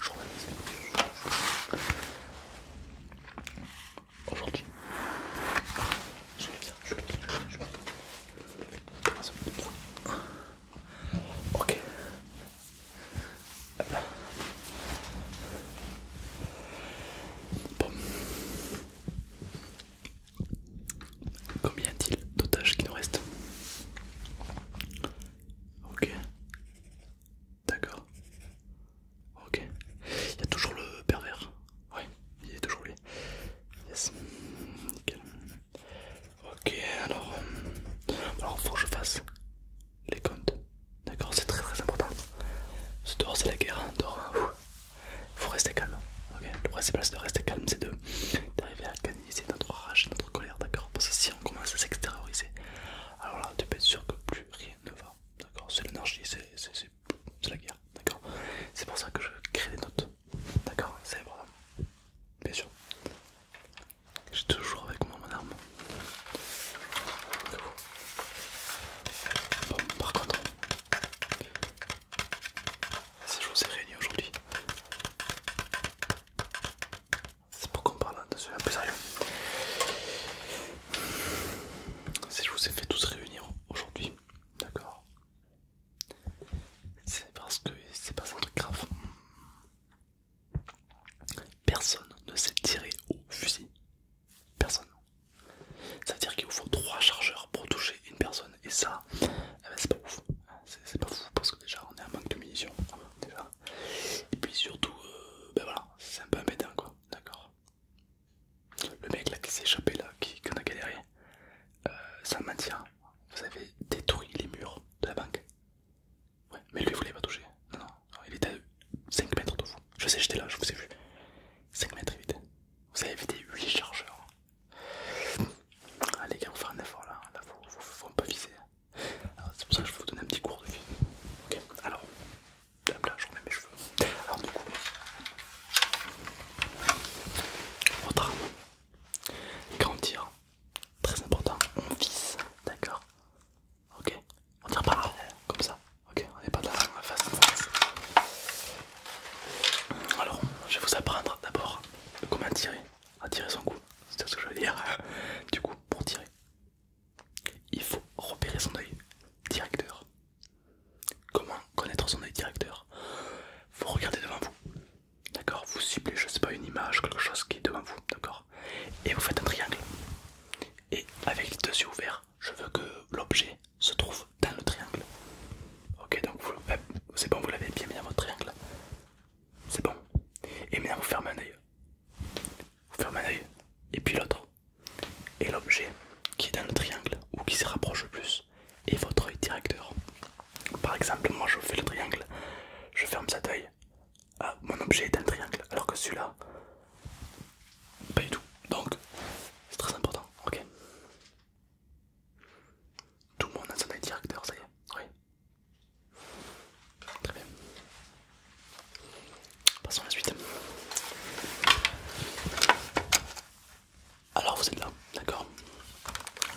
Aujourd'hui, je vais bien, je vais bien, je vais bien. Ok. Bon. Combien y a-t-il d'otages qui nous restent Ok. D'accord. Ok. Il y a toujours le pervers. Oui, il est toujours lui. Yes. Ok, alors. alors, faut que je fasse les comptes. D'accord, c'est très très important. Ce dehors, c'est la guerre. il hein. hein. faut rester calme. Le principal, c'est de rester calme, c'est d'arriver à canaliser notre rage, notre colère, d'accord on commence à s'extérioriser, alors là tu peux être sûr que plus rien ne va. D'accord C'est l'énergie, c'est la guerre. D'accord C'est pour ça que je crée des notes. D'accord C'est important. Bien sûr. J'ai toujours avec moi mon arme. Bon, par contre, si je vous ai aujourd'hui, c'est pas qu'on parle attention, un peu sérieux. Si je vous ai fait tous réunir aujourd'hui, d'accord C'est parce que c'est pas un truc grave. Personne ne s'est tiré au fusil. Personne. C'est-à-dire qu'il vous faut trois chargeurs pour toucher une personne et ça, eh ben, c'est pas ouf c'est pas fou parce que déjà on est en manque de munitions et puis surtout euh, ben voilà c'est un peu embêtant quoi d'accord le mec là qui s'est échappé là qui qu'on a galéré euh, sans ça vous avez détruit les murs de la banque mais lui vous l'avez pas touché non, non il était à 5 mètres de vous je sais j'étais là je vous ai vu 5 mètres vite vous avez évité 8 chargeurs Allez, les gars, on fait un effort là, là vous faut, faut un viser. C'est pour ça que je vais vous donner un petit cours de vie. Ok, alors, là, je remets mes cheveux. Alors, du coup, votre arme, tire, très important, on vise, d'accord Ok, on tire pas comme ça, ok, on n'est pas de la face. Alors, je vais vous apprendre d'abord comment tirer à tirer son coup, c'est ce que je veux dire. Du coup, pour tirer, il faut repérer son œil directeur. Comment connaître son œil directeur Vous regardez devant vous, d'accord Vous ciblez, je sais pas, une image, quelque chose qui est devant vous, d'accord Et vous faites un triangle. Et avec les deux yeux ouverts, je veux que l'objet se trouve dans le triangle. Ok, donc euh, c'est bon, vous l'avez bien mis dans votre triangle. C'est bon. Et maintenant, vous fermez un oeil Vous fermez un oeil, et puis l'autre. Et l'objet qui est dans le triangle ou qui se rapproche le plus est votre oeil directeur. Par exemple, moi je fais le triangle, je ferme cet oeil Ah, mon objet est un triangle, alors que celui-là, pas du tout. Donc, c'est très important, ok tout le monde a son directeur, ça y est, oui. Très bien. Passons à la suite. Alors vous êtes là, d'accord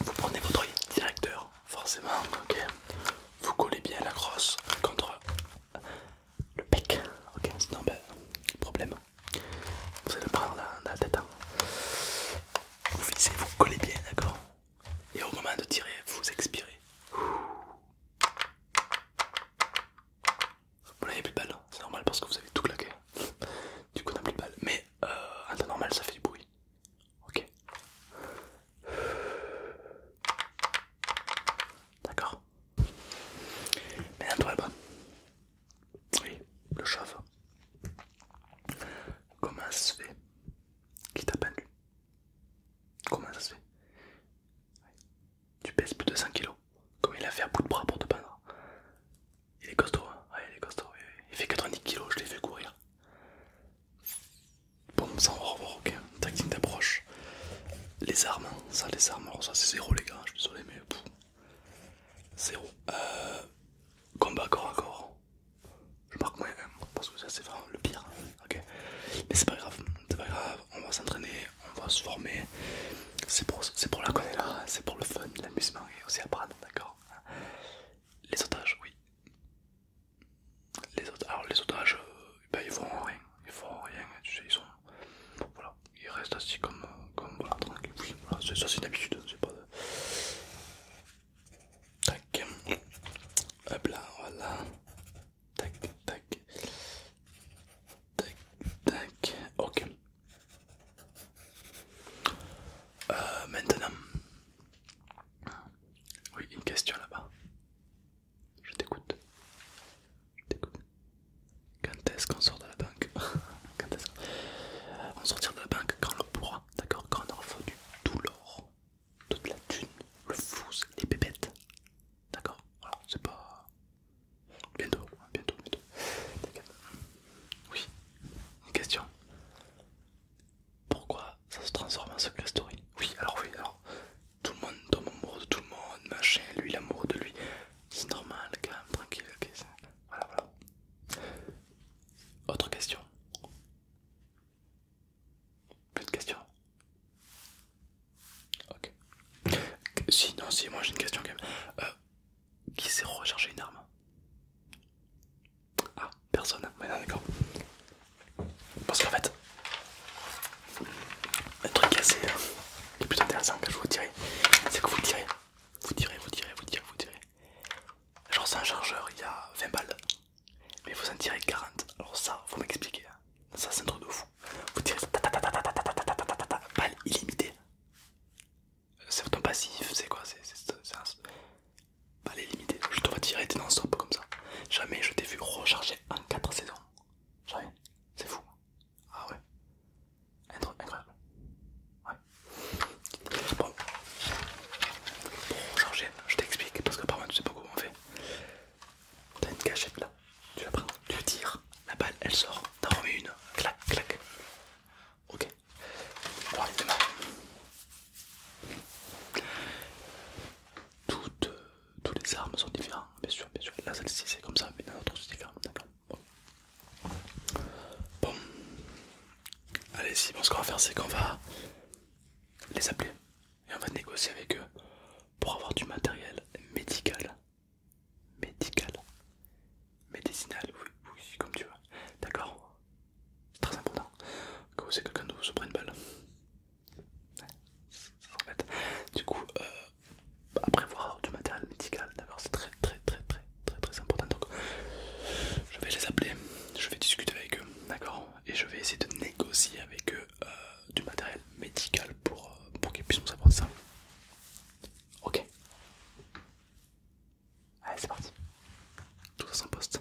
Vous prenez votre directeur, forcément, ok Vous collez bien la crosse contre le pec, ok Sinon, ben, problème. Vous allez le prendre dans la tête. Hein. Vous fixez, vous collez bien, d'accord Et au moment de tirer, vous expirez. Vous n'avez plus de balles, hein. c'est normal parce que vous avez tout claqué. Du coup, on n'a plus de balles, Mais euh, en temps normal, ça fait du bruit. Ok. D'accord. Maintenant, toi là oui, le chef. Comment ça se fait Qui t'a pendu Comment ça se fait Tu pèses plus de 100 kg, Comment il a fait à bout de bras pour te peindre Il est costaud, hein il est costaud. Oui, Il fait 90 kg, je l'ai fait courir. Bon, ça on revoir, ok. Tactique d'approche. Les armes, hein. ça, les armes, ça c'est zéro les gars, hein. je suis désolé, mais. 0. Euh, combat corps à corps. Je marque moins 1 parce que ça c'est vraiment le pire. Mais c'est pas grave, grave. On va s'entraîner, on va se former. C'est pour, pour la connaître là, c'est pour le fun, l'amusement et aussi apprendre, d'accord Les otages, oui. Les alors les otages, ils euh, bah, ils font rien, ils font rien, tu sais, ils sont. Voilà, il reste assis comme, comme voilà, tranquille. Oui, voilà, ça c'est d'habitude, hein, c'est pas. Tac, hop là, voilà, tac, tac, tac, tac, ok. Euh, maintenant, oui, une question là-bas. Je t'écoute. Quand est-ce qu'on sort de la banque Quand est-ce qu'on sortira de la banque quand on le pourra, d'accord Quand on aura tout l'or, toute la thune, le fou, les pépettes, d'accord Voilà, c'est pas... Bientôt, hein, bientôt, bientôt. Oui, une question. Pourquoi ça se transforme en secret story Oui, alors oui, alors tout le monde tombe amoureux de tout le monde, machin, lui il est amoureux de lui. C'est normal, calme, tranquille, ok. Voilà, voilà. Autre question Plus de questions Ok. Si, non, si, moi j'ai une question quand même. Euh, qui s'est recherché une arme Ah, personne. Bah, non, d'accord. Parce qu'en fait, un truc assez est plus intéressant quand je vous dirai, c'est que vous tirez, vous tirez, vous tirez, vous tirez, vous tirez. Genre c'est un chargeur, il y a 20 balles, mais vous en tirez 40. Alors ça, vous m'expliquer, ça c'est un truc de fou. Vous tirez ta C'est ton passif, c'est quoi C'est Balle illimitée, je te vois tirer, t'es non stop comme ça. Jamais je t'ai vu recharger en 4 saisons. Jamais, c'est fou. Ah ouais. Incroyable. Ouais. Bon. Pour je t'explique parce que par moi tu sais pas comment on fait. T'as une cachette là, tu la prends, tu tires, la balle elle sort, t'en remets une, clac, clac. Ok tous les armes sont différents, bien sûr, bien sûr. Là, celle-ci c'est comme ça, mais dans l'autre c'est différent, d'accord bon. allez, si, ce qu'on va faire, c'est qu'on va les appeler et on va négocier avec eux pour avoir du matériel médical, médical, médicinal, oui, comme tu veux, d'accord C'est très important que quelqu'un de vous une balle. Du coup, euh, après voir du matériel médical, d'accord, c'est très très très très très très important. Donc, je vais les appeler, je vais discuter avec eux, d'accord, et je vais essayer de négocier avec eux euh, du matériel médical pour, euh, pour qu'ils puissent nous apporter ça. Ok. Allez, c'est parti. Tout ça sans poste.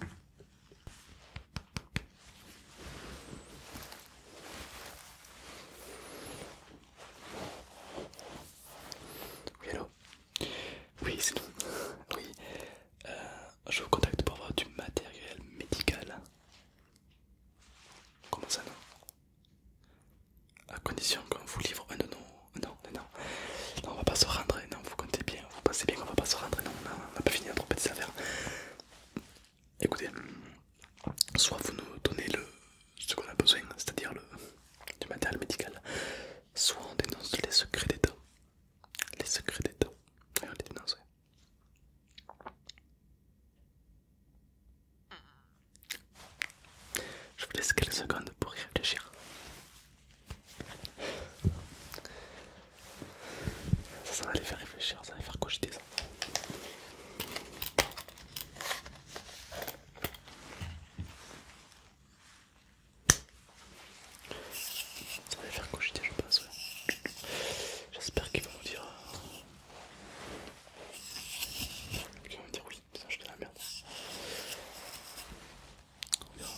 Oui, Oui, c'est nous. Oui, euh, je vous contacte pour avoir du matériel médical. Comment ça, non à condition qu'on vous livre un de nos... Non, non, non, on va pas se rendre, non, vous comptez bien, vous pensez bien qu'on va pas se rendre, non, on va pas finir, à tromper des affaires. Écoutez, soit vous nous donnez le, ce qu'on a besoin, c'est-à-dire du matériel médical, soit on dénonce les secrets d'État. Les secrets d'État, on les dénonce. Je vous laisse quelques secondes pour y réfléchir. Ça, va les faire réfléchir, ça va les faire cogiter ça. va les faire cogiter, je pense. J'espère qu'ils vont me dire. Euh, qu'ils vont me dire oui, ça je jeter la merde. On verra.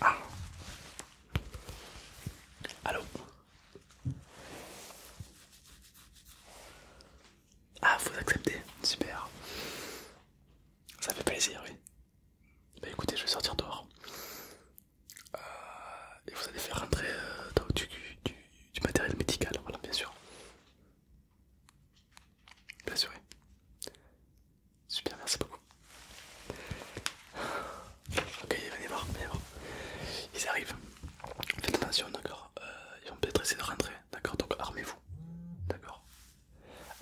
Ah. Allô Ah, vous acceptez Super. Ça fait plaisir, oui. Bah écoutez, je vais sortir dehors. Euh, et vous allez faire rentrer euh, du, du matériel médical, voilà, bien sûr. Bien sûr. Super, merci beaucoup. Ok, venez voir, venez voir. Ils arrivent. Faites attention, d'accord. Euh, ils vont peut-être essayer de rentrer, d'accord. Donc armez-vous, d'accord.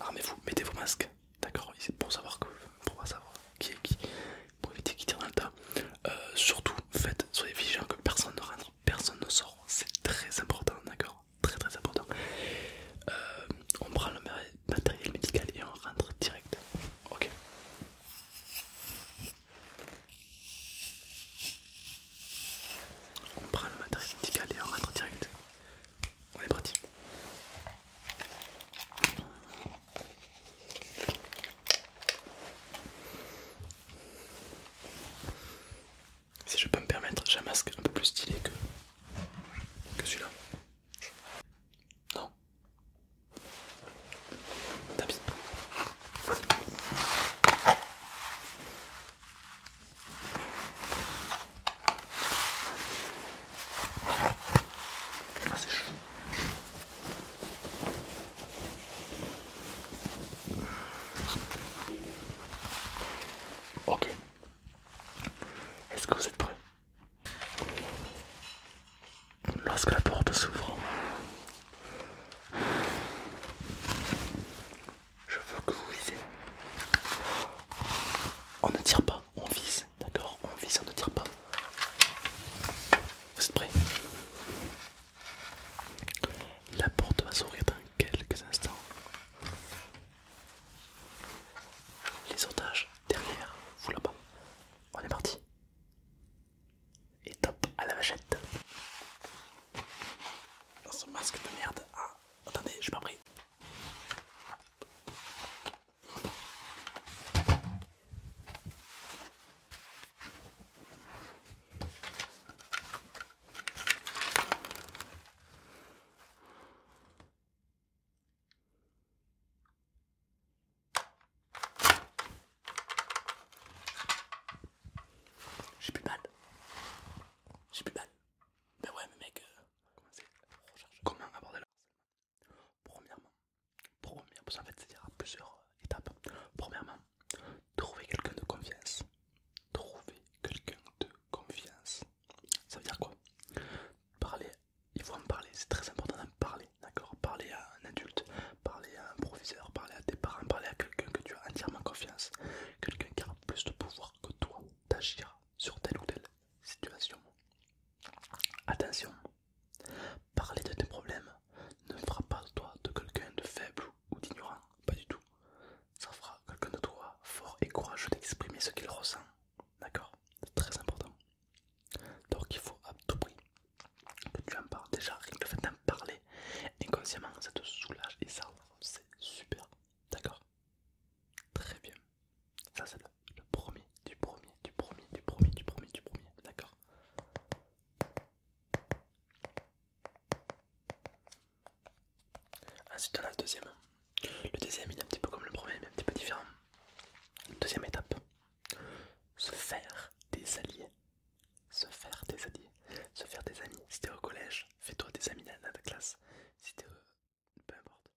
Armez-vous, mettez vos masques, d'accord. Pour savoir que, pour savoir qui est qui pour éviter qu'il tire dans le tas. Euh, surtout, faites, soyez vigilants que personne ne rentre, personne ne sort. C'est très important, d'accord Très très important. Euh, on prend le matériel médical et on rentre direct. Ok On prend le matériel médical et on rentre direct. On est parti. Si je peux me permettre, j'ai un masque un peu plus stylé que, que celui-là. Non. t'as ah, c'est chaud. Ok. Est-ce que vous êtes prêts Lorsque la porte s'ouvre, je veux que vous visez. On ne tire pas, on vise, d'accord On vise, on ne tire pas. Vous êtes prêts La porte va s'ouvrir dans quelques instants. Les otages derrière vous là-bas. On est parti. Et top à la vachette. Dans ce masque de merde. Ah, attendez, je m'en j'ai plus mal. J'ai plus mal. Ben ouais, mais mec, euh, comment, comment aborder la Premièrement, première, parce qu'en fait, dire plusieurs euh, étapes. Premièrement, trouver quelqu'un de confiance. Trouver quelqu'un de confiance. Ça veut dire quoi Parler, il faut en parler, c'est très important d'en parler, d'accord Parler à un adulte, parler à un professeur, parler à tes parents, parler à quelqu'un que tu as entièrement confiance, quelqu'un qui a plus de pouvoir que toi d'agir sur telle ou telle situation. Attention, Parler de tes problèmes ne fera pas de toi de quelqu'un de faible ou d'ignorant, pas du tout. Ça fera quelqu'un de toi fort et courageux d'exprimer ce qu'il ressent. D'accord C'est très important. Donc il faut à tout prix que tu en parles. Déjà, rien que le fait d'en parler inconsciemment, ça te soulage et ça, c'est super. D'accord Très bien. Ça c'est le, premier, du premier, du premier, du premier, du premier, du premier, d'accord Ensuite on a le deuxième. Le deuxième il est un petit peu comme le premier mais un petit peu différent. Deuxième étape, se faire des alliés. Se faire des alliés. Se faire des amis. Si t'es au collège, fais-toi des amis dans la classe. Si t'es... Euh, peu importe.